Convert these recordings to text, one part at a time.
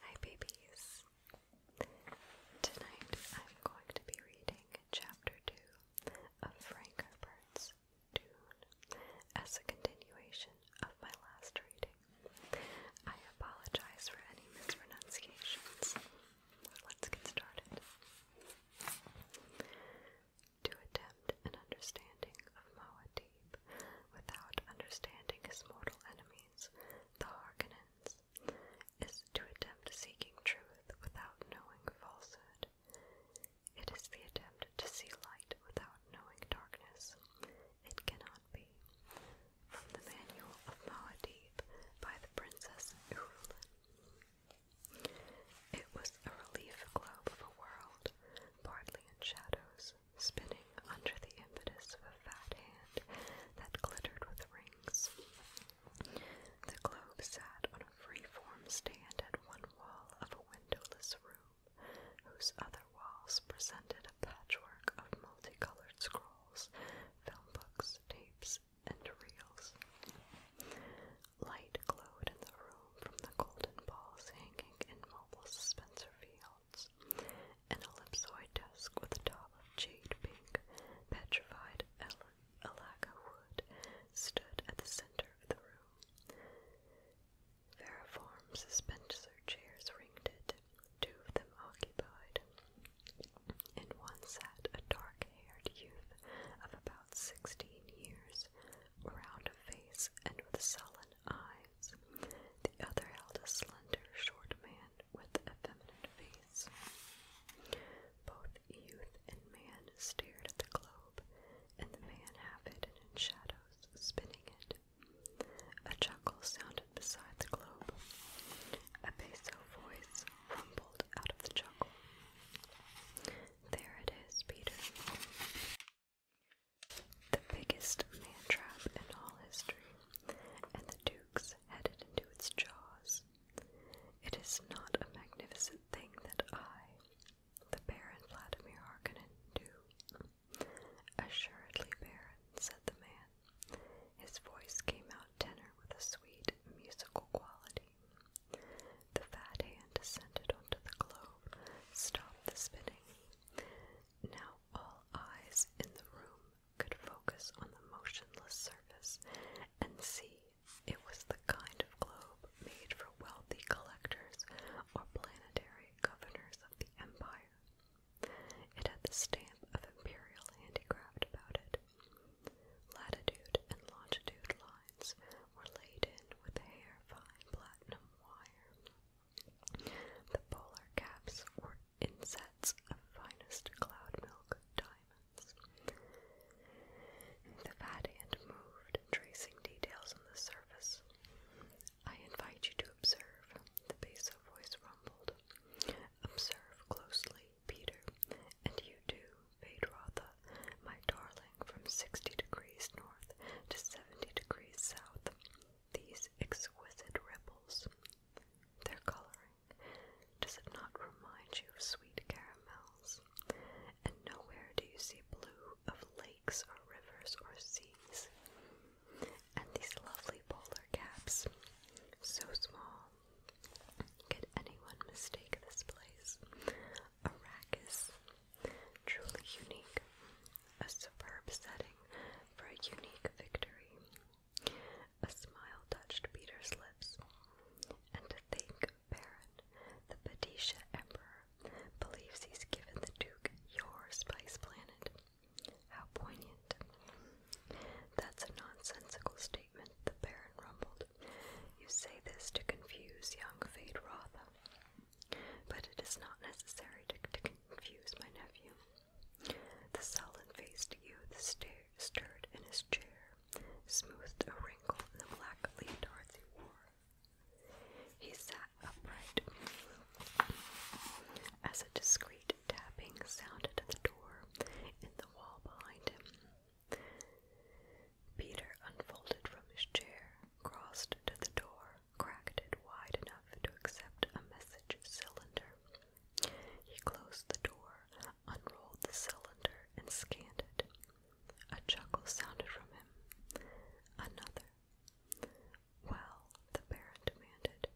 Hi babies! Tonight I'm going to be reading chapter 2 of Frank Herbert's Dune as a continuation of my last reading. I apologize for any mispronunciations. Let's get started. To attempt an understanding of Moa without understanding his mortal enemies, the Harkonnens, is to attempt seeking truth without knowing falsehood. It is the attempt to see light without knowing darkness. It cannot be. From the Manual of Muad'Dib by the Princess Irulan. It was a relief globe of a world, partly in shadows, spinning under the impetus of a fat hand that glittered with rings. The globe sat on a free-form stand at one wall of a windowless room, whose other walls presented a patchwork of multicolored scrolls, film books, tapes, and reels. Light glowed in the room from the golden balls hanging in mobile suspensor field. An ellipsoid desk with a top of jade pink, petrified alaka wood stood at the center of the room. Variform suspensor chairs ringed it, two of them occupied. In one sat a dark haired youth of about sixteen years, round of face and with a sullen eye. The other held a slender, short man with a feminine face. Both youth and man stared at the globe, and the man half hidden in shadows, spinning it. A chuckle sounded beside the globe. A basso voice rumbled out of the chuckle. There it is, Peter the biggest man trap in all history, and the Duke's headed into its jaws. It is not a magnificent thing that I, the Baron Vladimir Harkonnen, do. Assuredly, Baron, said the man. His voice came out tenor with a sweet, musical quality. The fat hand descended onto the globe, stopped the spinning. Now all eyes in the room could focus on the motionless surface and see it was the kind of globe made for wealthy collectors or planetary governors of the empire. It had the stamp of imperial handicraft about it. Latitude and longitude lines were laid in with hair fine platinum wire. The polar caps were insets of finest cloud milk diamonds. The fat hand moved, tracing details on the surface. I invite you to observe, the basso voice rumbled. Observe closely, Peter, and you too, Vedratha, my darling, from sixty degrees north to seventy degrees south these exquisite ripples, their coloring, does it not remind you of sweet caramels? And nowhere do you see blue of lakes or rivers or seas. And these lovely polar caps, so small. Could anyone mistake this place? Arrakis Truly unique. A superb setting for a unique victory. A smile touched Peter's lips. And to think, Baron, the Padisha Emperor believes he's given the Duke your spice planet. How poignant. That's a nonsensical statement, the Baron rumbled. You say this to confuse young Fade but it is not necessary to, confuse my nephew. The sullen-faced youth stirred in his chair, smoothed a wrinkle in the black leaf Dorothy wore. He sat upright as a discreet tapping sounded at the door in the wall behind him. Peter unfolded from his chair crossed to the door, cracked it wide enough to accept a message cylinder. He closed the door, unrolled the cylinder, and scanned it. A chuckle sounded from him. Another. Well, the Baron demanded.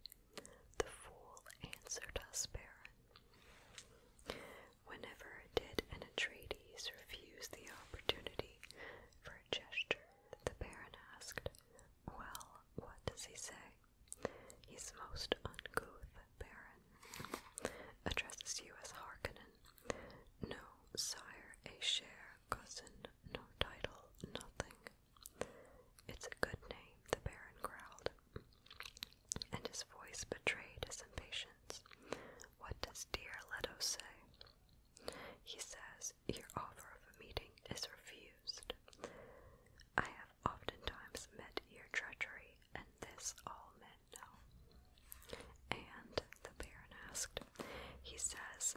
The fool answered us, Baron. Whenever did an Atreides refuse the opportunity for a gesture the Baron asked, Well, what does he say? He's most uncouth, Baron. Addresses you as Harkonnen. No, sire, a share, cousin, no title, nothing. It's a good name, the Baron growled, and his voice betrayed his impatience. What does dear Leto say? He says your offer of a meeting is refused. I have oftentimes met your treachery, and this all men know. And the Baron asked, he says,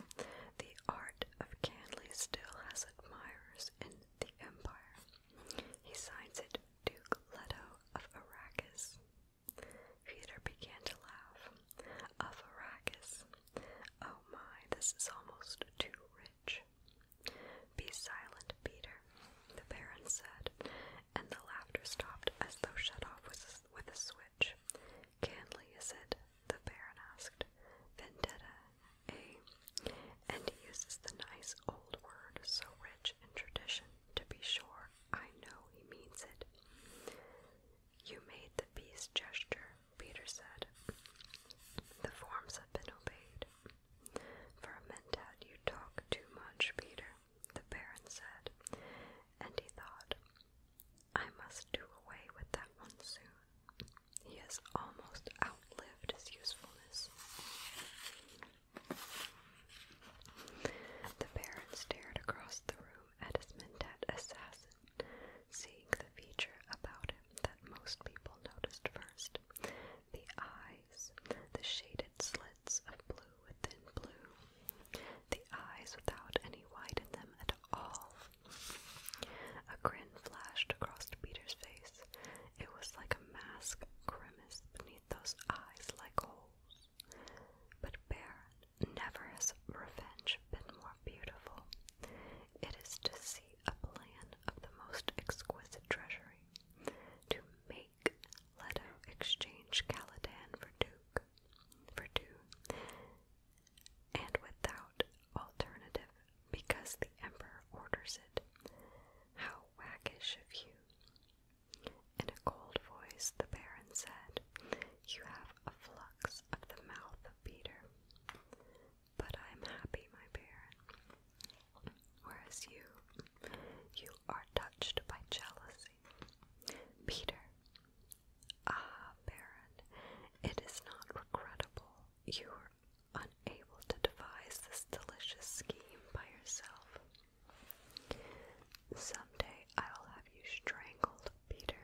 the art of Candley still has admirers in the Empire. He signs it Duke Leto of Arrakis. Peter began to laugh. Of Arrakis, Oh my, this is almost too rich. Be silent, Peter, the Baron said, and the laughter stopped as though shut off with a, switch. Canley, is it? The Baron asked. Vendetta, a," eh? And he uses the nice old word, so rich in tradition, to be sure. I know he means it. You made the beast gesture, Peter said. The forms have been obeyed. Vermintad, you talk too much, Peter, the Baron said, and he thought, I must do away with that one soon. He has almost outlived his usefulness. The Baron stared across the room Edison Dead Assassin, seeing the feature about him that most people noticed first the eyes, the shaded slits of blue within blue, the eyes without any white in them at all. A grin flashed across Peter's face. It was like a mask grimace beneath those eyes like holes. But Bear Never has revenge been more beautiful. It is to see a plan of the most exquisite treasury, to make Leto exchange Caladan for Duke, for two, and without alternative, because the Emperor orders it. How wackish of you! In a cold voice, the Baron said, You have a flux of the mouth of Peter. But I am happy, my baron, whereas you, you are touched by jealousy. Peter, ah, baron, it is not regrettable you were unable to devise this delicious scheme by yourself. Someday I will have you strangled, Peter,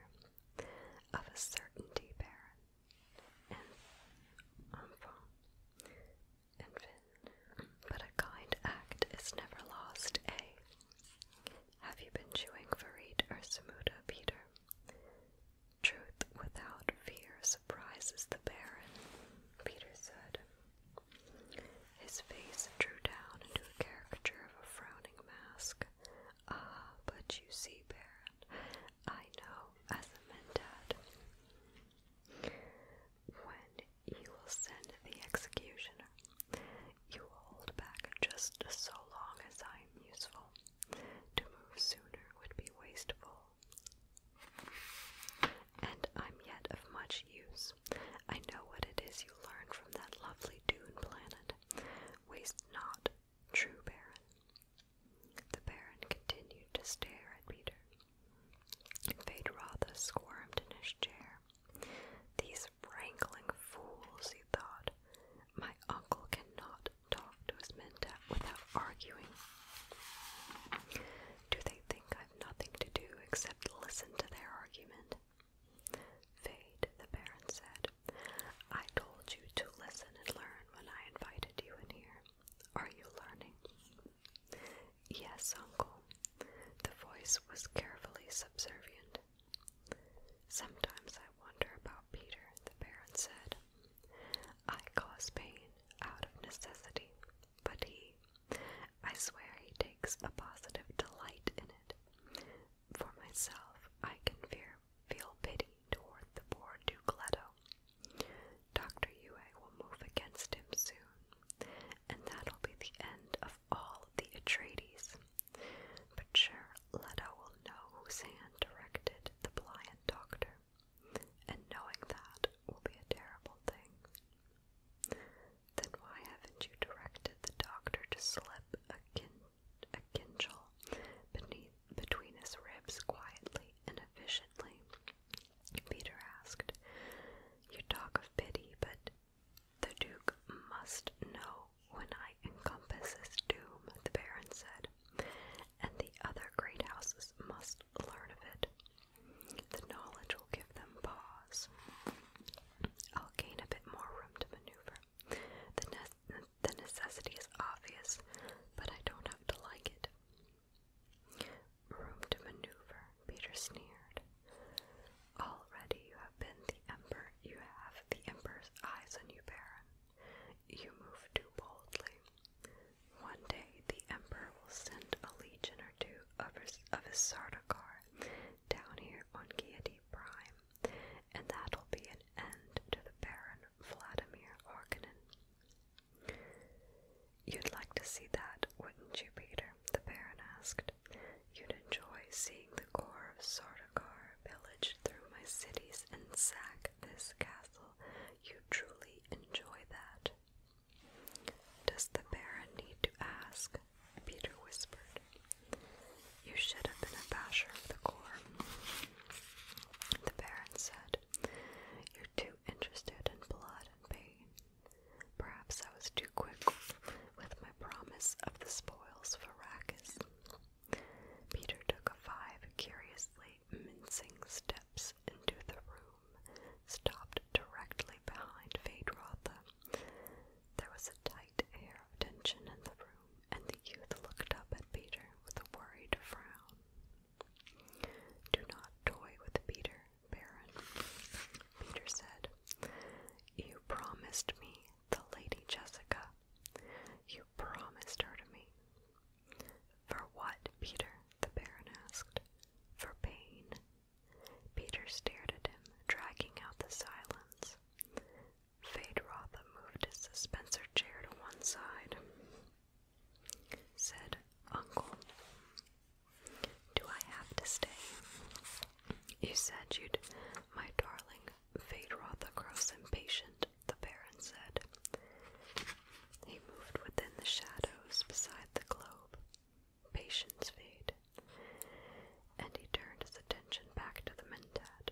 of a certainty Baron. and enfant and fin. But a kind act is never lost, eh? Have you been chewing Farid or Samuda, Peter? Truth without fear surprises the baron, Peter said. His face drew down into a caricature of a frowning mask, Ah, but you see, Baron, I know as a man, mandad. When you will send the executioner, you will hold back just so long as I am useful. To move sooner would be wasteful. And I'm yet of much use. I know what it is you learned from that lovely dune planet. Waste not true, Baron. The Baron continued to stare at Peter. Fade Ratha squirmed in his chair. These wrangling fools, he thought. My uncle cannot talk to his men without arguing. Do they think I've nothing to do except listen to their argument? Fade, the Baron said. I told you to listen and learn when I invited you in here. Are you learning? Yes, Uncle. The voice was carefully subservient. Sometimes I wonder about Peter, the Baron said. I cause pain out of necessity, but he, I swear he takes a positive delight in it. For myself, I can fear, feel pity toward the poor Duke Leto. Dr. Yue will move against him soon, and that'll be the end of all the Atreides. But sure, Leto will know whose hand directed the blind doctor, and knowing that will be a terrible thing. Then why haven't you directed the doctor to slip akin a kinchel beneath, between his ribs quietly and efficiently. Peter asked, You talk of pity, but the Duke must know when I encompass doom, the Baron said, and the other great houses must learn of it. The knowledge will give them pause. I'll gain a bit more room to maneuver. The, ne the necessity is obvious, but I don't have to like it. Room to maneuver, Peter sneered. Already you have been the emperor. You have the emperor's eyes on you, Baron. You move too boldly. One day the emperor will send a legion or two of his, of his Sardaukar down here on Gaiety Prime, and that'll be an end to the Baron Vladimir Harkonnen. You'd like to see that, wouldn't you, Peter? the Baron asked. You'd enjoy seeing the core of Sardaukar pillage through my cities and sack this castle. you truly enjoy that. Does the Baron need to ask Peter whispered. You should have been a basher of the corps. The Baron said, You're too interested in blood and pain. Perhaps I was too quick with my promise of the spoils for Arrakis. Peter took a five curiously mincing steps into the room, stopped directly behind Fade Rotha. There was a tight air of tension in the room, and the youth looked up at Peter with a worried frown. Do not toy with Peter, Baron, Peter said. You promised me the Lady Jessica. You promised her to me. For what, Peter? the Baron asked. For pain. Peter stared at him, dragging out the silence. Fade-Rotha moved his dispenser chair to one side. Said, Uncle, do I have to stay? You said you'd, my darling. Fade-Rotha grows impatient, the Baron said. He moved within the shadows beside the globe. Patience, Fade. And he turned his attention back to the mentat.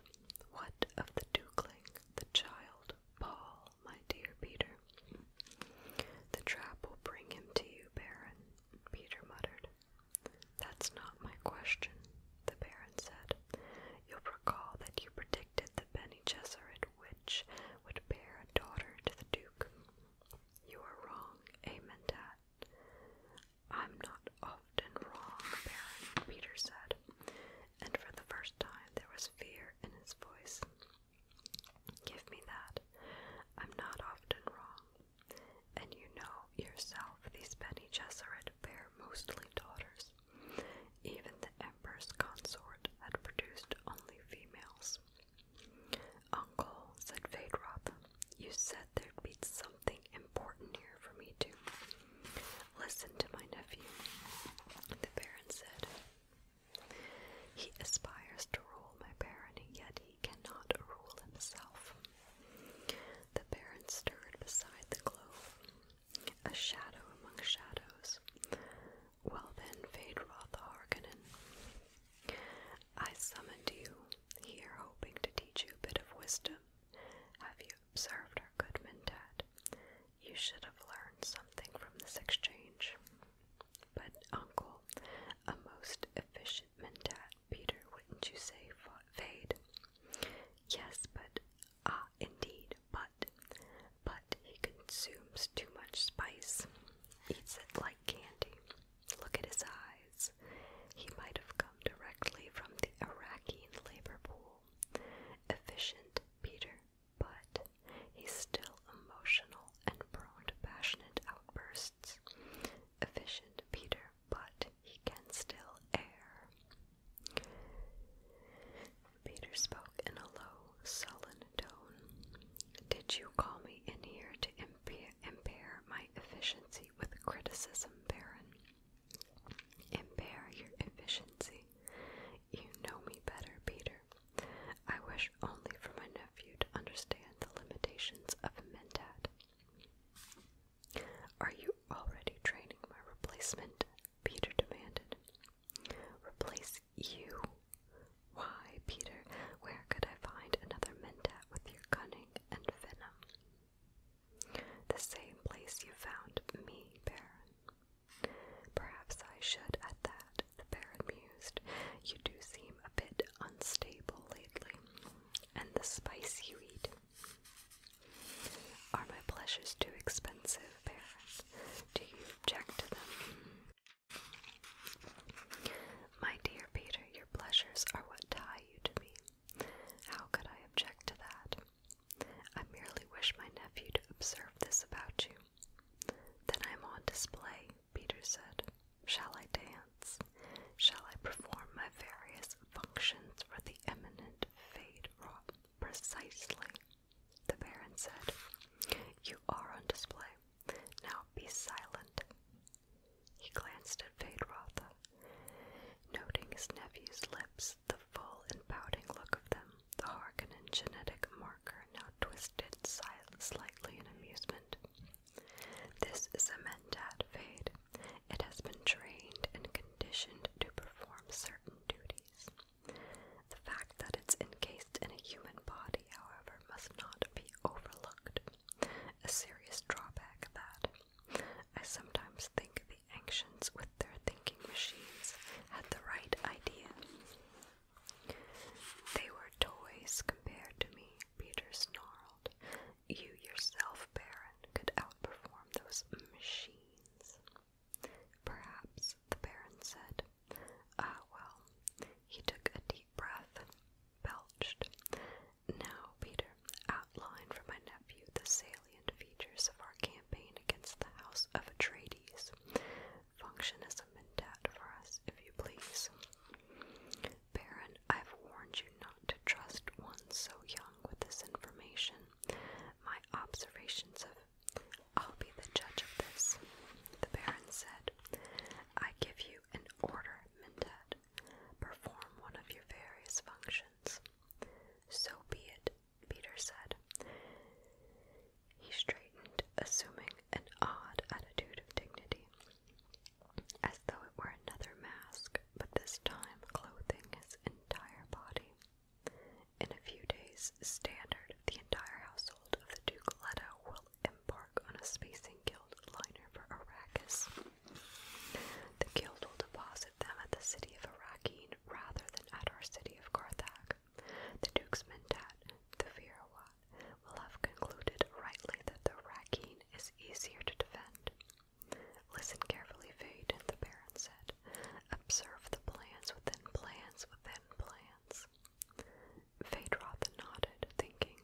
What of the dukeling, the child, Paul, my dear Peter? The trap will bring him to you, Baron, Peter muttered. That's not my question, the Baron said. You'll recall that you predicted the Bene Jeseret witch would bear a daughter to the Duke. You were wrong, Amentat. Eh, I'm not often wrong, Baron, Peter said, and for the first time there was fear in his voice. Give me that. I'm not often wrong. And you know yourself these Benny Gesserit bear mostly daughters. Even the Emperor's consort had produced only females. Uncle, said Vaidroth, you said there'd be some something important here for me to listen to my nephew. The Baron said, He aspires to rule my barony, yet he cannot rule himself. The Baron stirred beside the globe, a shadow among shadows. Well then, Fade Roth Harkonnen, I summoned you here hoping to teach you a bit of wisdom. Have you observed our good Mintat? You should have learned something from this exchange. But, Uncle, a most efficient Mintat, Peter, wouldn't you say, Fade? Yes, but, ah, indeed, but, but he consumes too much spice, eats it like candy. Look at his eyes. He might have come directly from the Iraqi labor pool. Efficient Peter, but he's still emotional and prone to passionate outbursts. Efficient Peter, but he can still err. Peter spoke in a low, sullen tone. Did you call me in here to impede impair my efficiency with criticism, Baron. Impair your efficiency. You know me better, Peter. I wish only for my nephew to understand the limitations of a mentat. Are you already training my replacement? Peter demanded. Replace you? Why, Peter, where could I find another mentat with your cunning and venom? The same place you found me, Baron. Perhaps I should at that, the Baron mused. You do seem a bit unstable lately, and the spice you eat. Are my pleasures too expensive, Baron? Do you object to them? My dear Peter, your pleasures are what tie you to me. How could I object to that? I merely wish my nephew to observe this about you. Then I'm on display, Peter said. Shall I dance? Shall I perform my various functions for the eminent fade Precisely, the Baron said. You are on display. Now be silent. He glanced at Vaidratha, noting his nephew's lips, the full and pouting look of them, the Harkonnen genetic marker now twisted slightly in amusement. This is a mentat, Vade. It has been trained and conditioned to perform certain duties. The fact that it's encased in a human body, however, must not be overlooked. A serious drawback that, I sometimes think the ancients, with their thinking machines, had the right idea. They were toys compared to me, Peter snarled. You yourself, Baron, could outperform those machines. Perhaps, the Baron said. Ah, well. He took a deep breath, belched, now, Peter, outline for my nephew the salient features of our campaign against the House of Atreides. Function as for us, if you please. Baron, I've warned you not to trust one so young with this information. My observations of I'll be the judge of this, the Baron said. I give you an order, Mentat perform one of your various functions. So be it, Peter said. He straightened, assuming an odd attitude of dignity, as though it were another mask, but this time clothing his entire body. In a few days, Standard, the entire household of the Duke Leto, will embark on a spacing guild liner for Arrakis. The guild will deposit them at the city of Arakeen rather than at our city of Karthak. The Duke's mentat, the Virawat, will have concluded rightly that the Arakeen is easier to defend. Listen carefully, Fade, the Baron said. Observe the plans within plans within plans. Fade Rotha nodded, thinking.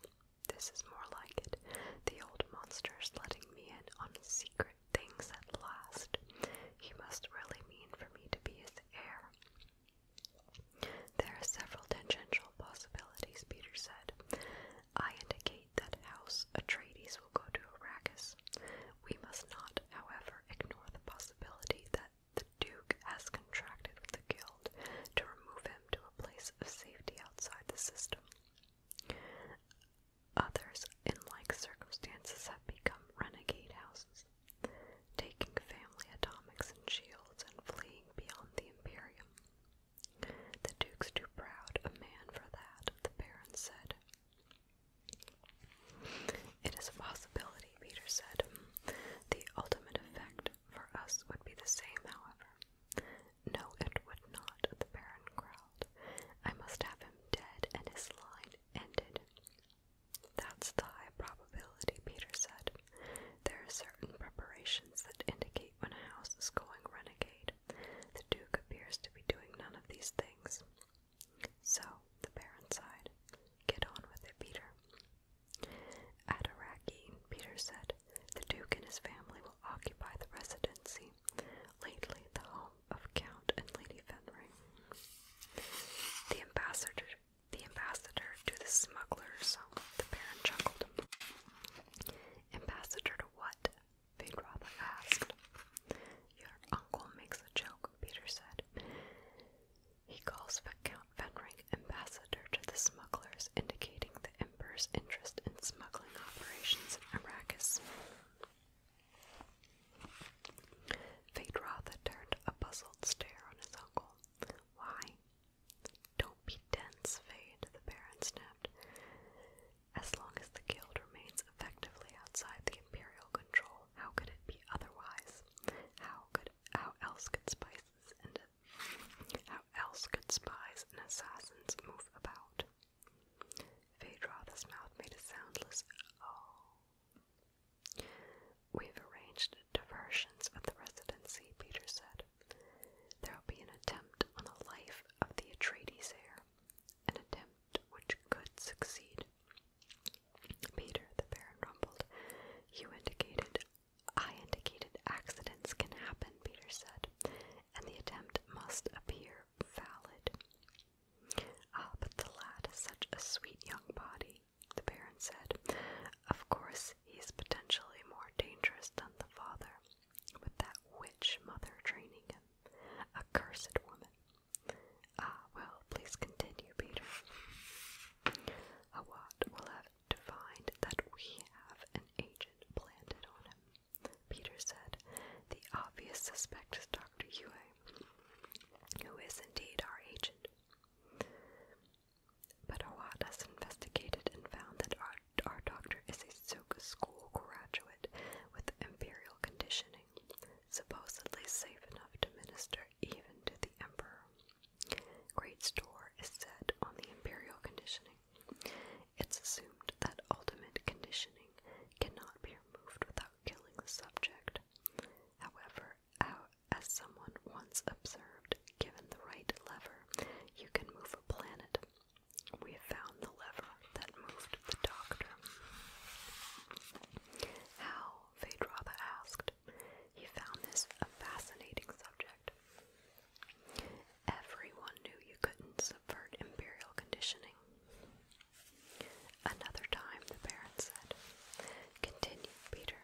This is more like it. The old monster is letting me in on secret things at last. He must really mean for me to be his heir. There are several tangential possibilities, Peter said. I indicate that House Atreides will go to Arrakis. We must not, however, ignore the possibility that the Duke has contracted with the Guild to remove him to a place of safety outside the system. Others, in like circumstances, have become renegade houses, taking family atomics and shields and fleeing beyond the Imperium. The Duke's too proud a man for that, the Baron said. It is a possibility, Peter said. The ultimate effect for us would be the same, however. No, it would not, the Baron growled. I must have him dead and his line ended. That's the high probability, Peter said. There are certain preparations that indicate when a house is going renegade. The Duke appears to be doing none of these things. So, the Baron sighed. Get on with it, Peter. Adaraki, Peter said, the Duke and his family will occupy the residency, lately the home of Count and Lady Fenring. The ambassador the ambassador to the smugglers, the Baron chuckled. Ambassador to what? Vidratha asked. Your uncle makes a joke, Peter said. He calls Count Fenring ambassador to the smugglers, indicating the Emperor's interest in smuggling operations in Arrakis. Phaedrotha turned a puzzled stare on his uncle. Why? Don't be dense, Fade, the Baron snapped. As long as the guild remains effectively outside the Imperial control, how could it be otherwise? How could how else could spices and how else could spies and assassins move about? Phaedroth's mouth made a soundless oh. We've arranged diversions at the residency, Peter said. There'll be an attempt on a life of the Atreides heir, an attempt which could succeed. Peter, the Baron rumbled, you indicated I indicated accidents can happen, Peter said, and the attempt must appear valid. Ah, but the lad is such a sweet young body, the Baron said. Of course, he's potentially more dangerous than the father, with that witch mother training him. A woman. Ah, well, please continue, Peter. Awad ah, will have to find that we have an agent planted on him. Peter said, The obvious suspect is Dr. Yue, who is indeed our agent. But Hawat has investigated and found that our, our doctor is a Soka school graduate with imperial conditioning, supposedly safe enough to minister even to the emperor. Great store is set on the imperial conditioning. It's assumed that ultimate conditioning cannot be removed without killing the subject. However, as someone once observed, given the right lever, you can move a planet. We found the lever that moved the doctor. How? Phaedraba asked. He found this a fascinating subject. Everyone knew you couldn't subvert imperial conditioning. Another time, the Baron said. Continue, Peter.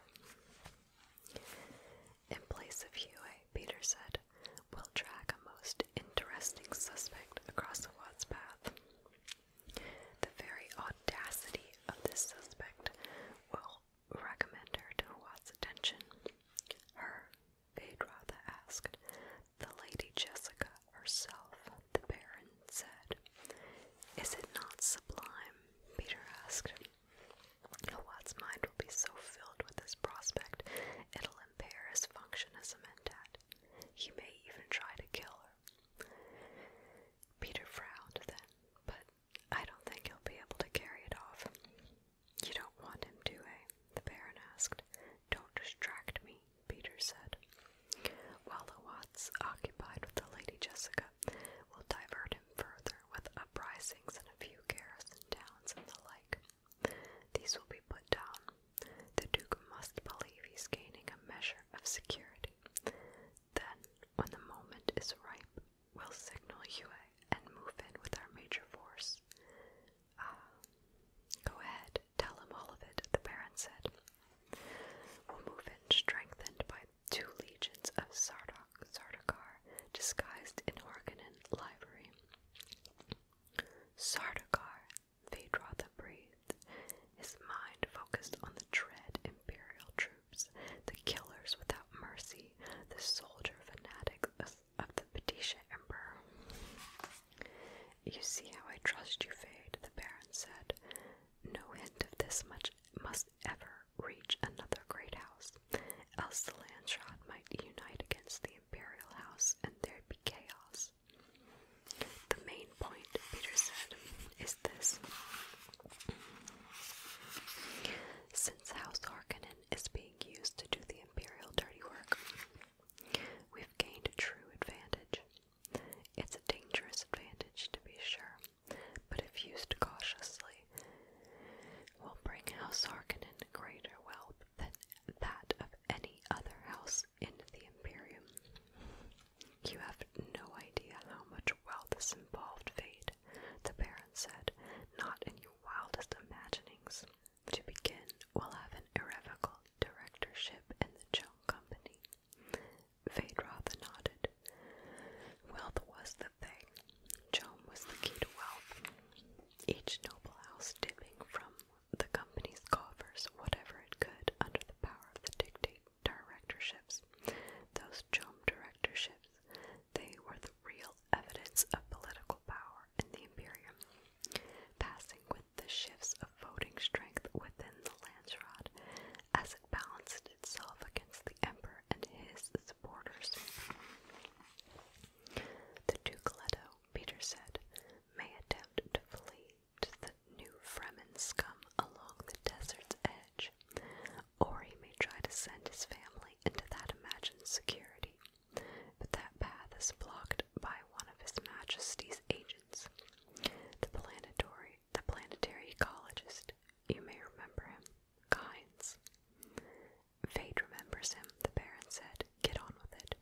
In place of Huey, Peter said, We'll track a most interesting suspect across the Wad's path. The very audacity of this suspect will recommend her to Watt's attention. Her, they'd rather asked. The Lady Jessica herself, the Baron said. Is it not sublime? Peter asked. Watt's mind will be so filled with this prospect, it'll impair his function as a mentat. He may even try to kill her. Peter frowned then, but I don't think he'll be able to carry it off. You don't want him to, eh? The Baron asked. Don't distract me, Peter said. While occupied with the Lady Jessica, will divert him further with uprisings in a few garrison towns and the like. These will be put down. The Duke must believe he's gaining a measure of security. Then, when the moment is ripe, We'll signal Huey and move in with our major force. Ah, go ahead, tell him all of it, the Baron said. We'll move in strengthened by two legions of Sardok, Sardaukar, disguised in Organon livery. Sardaukar, Vedratha breathed, his mind focused on the dread Imperial troops, the killers without mercy, the soldier fanatic of the Padisha emperor. You see how I trust you, Fade, the Baron said. No hint of this much must ever reach another great house, else the Landshot might unite against the Imperial House and there'd be chaos. The main point, Peter said, is this. Since House Harkonnen is being used to do the imperial dirty work. We've gained a true advantage. It's a dangerous advantage, to be sure, but if used cautiously, will bring House Harkonnen greater wealth than that of any other house in the Imperium. You have no idea how much wealth is involved, Fade, the Baron said, not in your." wildest imaginings. To begin, we'll have an irrevocable directorship in the Chung Company. Vaidratha nodded. Wealth was the thing. Chom was the key to wealth. Each noble house dipping from the company's coffers whatever it could under the power of the dictate directorships. Those Chom directorships they were the real evidence of political power in the Imperium, passing with the shifts of voting strength within the Landsrod as it balanced itself against the Emperor and his supporters. The Duke Leto, Peter said, may attempt to flee to the new Fremen scum along the desert's edge, or he may try to send his family into that imagined security. But that path is blocked by one of His Majesty's agents, the planetary, the planetary ecologist. You may remember him, Kynes. Fate remembers him, the Baron said. Get on with it.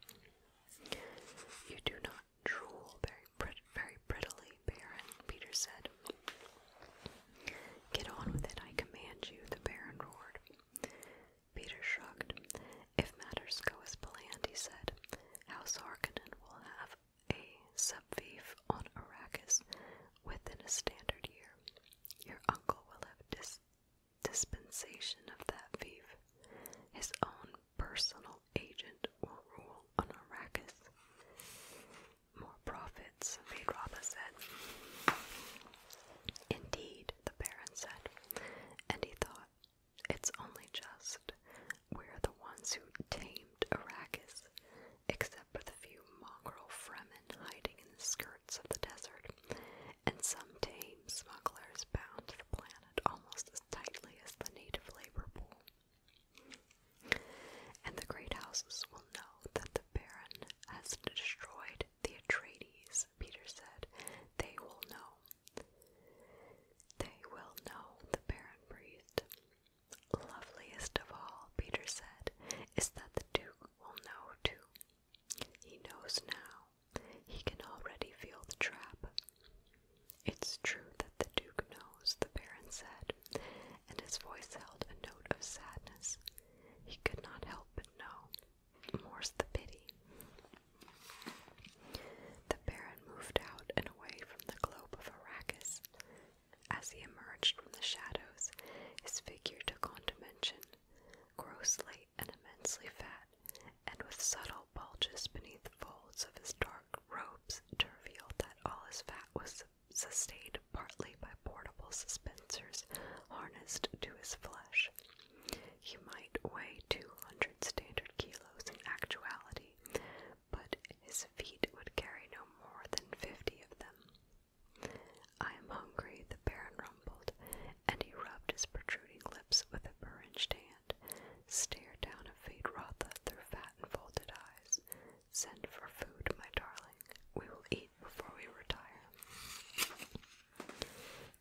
You do not drool very, very prettily, Baron, Peter said. Get on with it, I command you, the Baron roared. Peter shrugged. If matters go as planned, he said, House Harkonnen will have a sub subvief on Arrakis within a standard year. Your uncle will have dis dispensation of that fief. His own personal agent will rule on Arrakis more profits, Vidrobha said. Indeed, the Baron said, and he thought, it's only just we're the ones who tamed Arrakis, except for the few mongrel Fremen hiding in the skirts of the desert, and some tame smugglers bound to the planet almost as tightly as the native labor pool. And the great houses will know that the Baron has destroyed the Atreides, Peter said. They will know. They will know, the Baron breathed. Loveliest of all, Peter said, is that the Duke will know too. He knows now. He can already feel the trap. It's true that the Duke knows, the Baron said, and his voice held a note of sadness. He could not help but know. More's the pity. The Baron moved out and away from the globe of Arrakis. As he emerged from the shadows, his figure took on dimension, grossly and immensely fat, and with subtle bulges beneath folds of his dark robes to reveal that all his fat was sustained partly by portable suspensors harnessed to his flesh. He might weigh 200 standard kilos in actuality, but his feet would carry no more than 50 of them. I am hungry, the Baron rumbled, and he rubbed his protruding lips with a burringed hand, stared down at Fate Rotha through fat and folded eyes, Send for food, my darling. We will eat before we retire.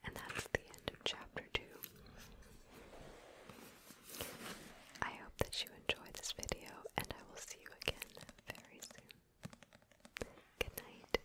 And that's the end of chapter 2. I hope that you enjoyed this video, and I will see you again very soon. Good night.